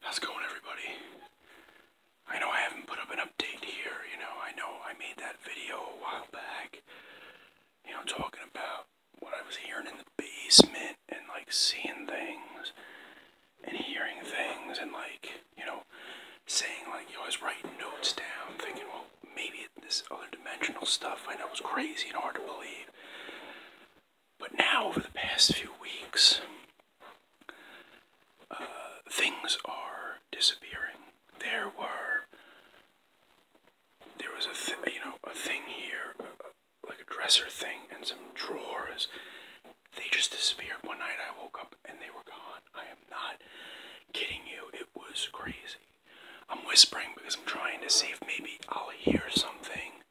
How's going, everybody? I know I haven't put up an update here, you know, I know I made that video a while back, you know, talking about what I was hearing in the basement and, like, seeing things and hearing things and, like, you know, saying, like, you know, I was writing notes down, thinking, well, maybe this other dimensional stuff I know it was crazy and hard to believe but now, over the past few weeks, uh, things are disappearing. There were, there was a th you know a thing here, uh, like a dresser thing, and some drawers. They just disappeared one night. I woke up and they were gone. I am not kidding you. It was crazy. I'm whispering because I'm trying to see if maybe I'll hear something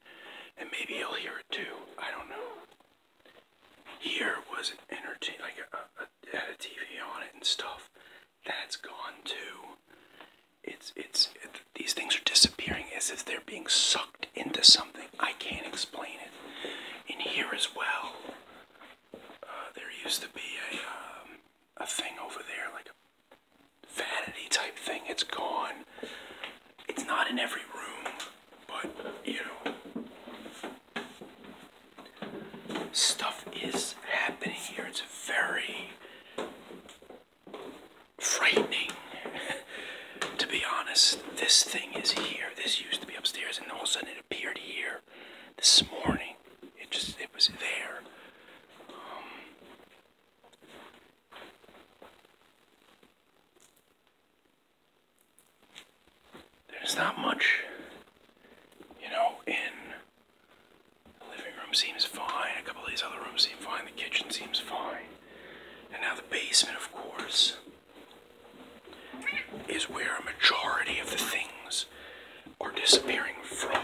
and maybe you'll hear it too. I don't know. Here was an entertain like a, had a TV on it and stuff. That's gone too. It's it's these things are disappearing as if they're being sucked into something. I can't explain it. In here as well, uh, there used to be a um, a thing over there, like a vanity type thing. It's gone. It's not in every room, but you know, stuff is happening here. It's very frightening, to be honest. This thing is here. This used to be upstairs, and all of a sudden it appeared here this morning. It just it was there. Um, there's not much, you know, in the living room seems fine. A couple of these other rooms seem fine. The kitchen seems fine. And now the basement, of course is where a majority of the things are disappearing from.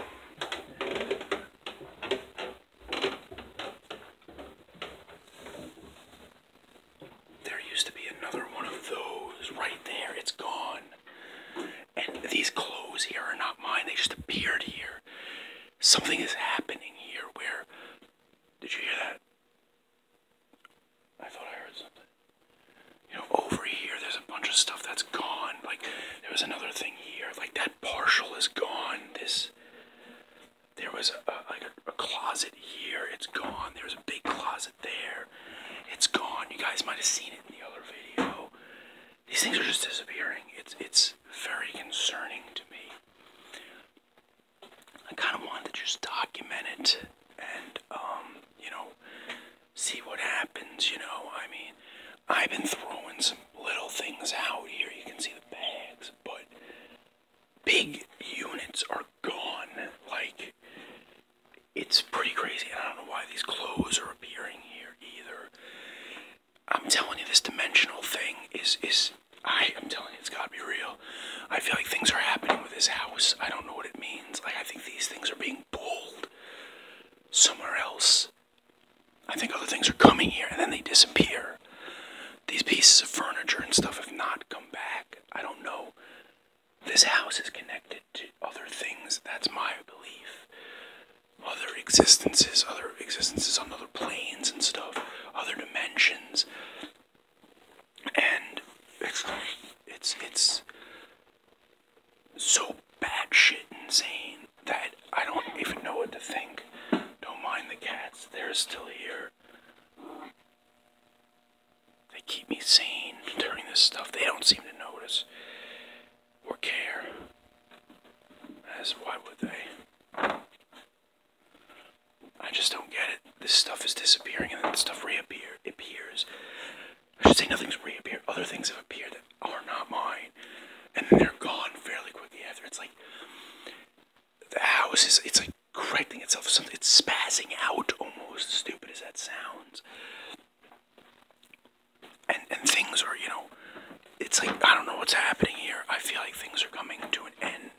There used to be another one of those right there. It's gone. And these clothes here are not mine, they just appeared here. Something is happening here where. Did you hear that? I thought I heard something. You know, over here, there's a bunch of stuff that's gone. Like, there was another thing here. Like, that partial is gone. This, there was a, like a closet here. It's gone. There was a big closet there. It's gone. You guys might have seen it in the other video. These things are just disappearing. It's it's very concerning to me. I kind of wanted to just document it and, um, you know, see what happens, you know. I mean, I've been throwing some little things out here. You can see the bags, but big units are gone. Like, it's pretty crazy. I don't know why these clothes are appearing here either. I'm telling you, this dimensional thing is is. I am telling you, it's gotta be real. I feel like things are happening with this house. I don't know what it means. Like I think these things are being pulled somewhere else. I think other things are coming here and then they disappear. These pieces of furniture and stuff have not come back. I don't know. This house is connected to other things. That's my belief other existences, other existences on other planes and stuff, other dimensions. And it's it's it's so batshit insane that I don't even know what to think. Don't mind the cats, they're still here. They keep me sane during this stuff. They don't seem to notice or care. As why would they? I just don't get it. This stuff is disappearing and then this stuff reappear appears. I should say nothing's reappear. Other things have appeared that are not mine. And then they're gone fairly quickly after. It's like the house is it's like correcting itself. Something. It's spazzing out almost stupid as that sounds and and things are you know it's like I don't know what's happening here. I feel like things are coming to an end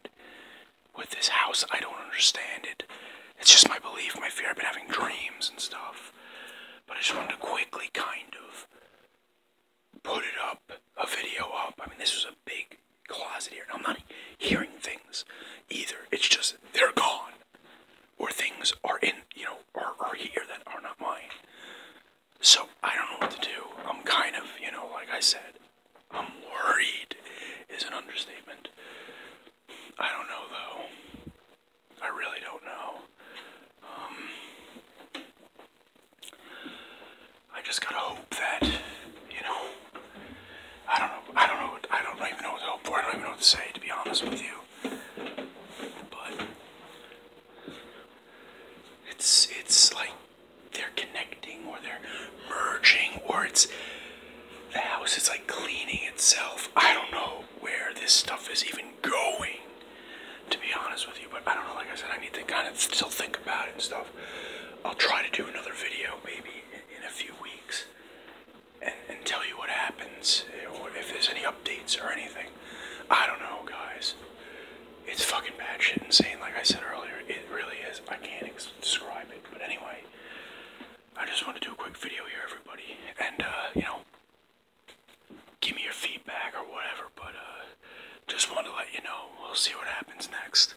with this house. I don't understand it. It's just my belief, my fear. I've been having dreams and stuff. But I just wanted to quickly kind of put it up, a video up. I mean, this was a big closet here. I'm not hearing things either. It's just they're gone or things are in you know are, are here that are not mine so i don't know what to do i'm kind of you know like i said i'm worried is an understatement i don't know though i really don't know um, i just gotta hope that you know i don't know i don't know i don't even know what to hope for i don't even know what to say to be honest with you but it's it's like they're connecting or they're merging or it's the house is like cleaning itself. I don't know where this stuff is even going, to be honest with you. But I don't know. Like I said, I need to kind of still think about it and stuff. I'll try to do another video maybe in, in a few weeks and, and tell you what happens, or if there's any updates or anything. I don't know, guys. It's fucking bad shit insane, like I said earlier. It really is. I can't describe it. But anyway, I just want to do a quick video here, everybody. And, uh, you know, give me your feedback or whatever. But, uh, just want to let you know. We'll see what happens next.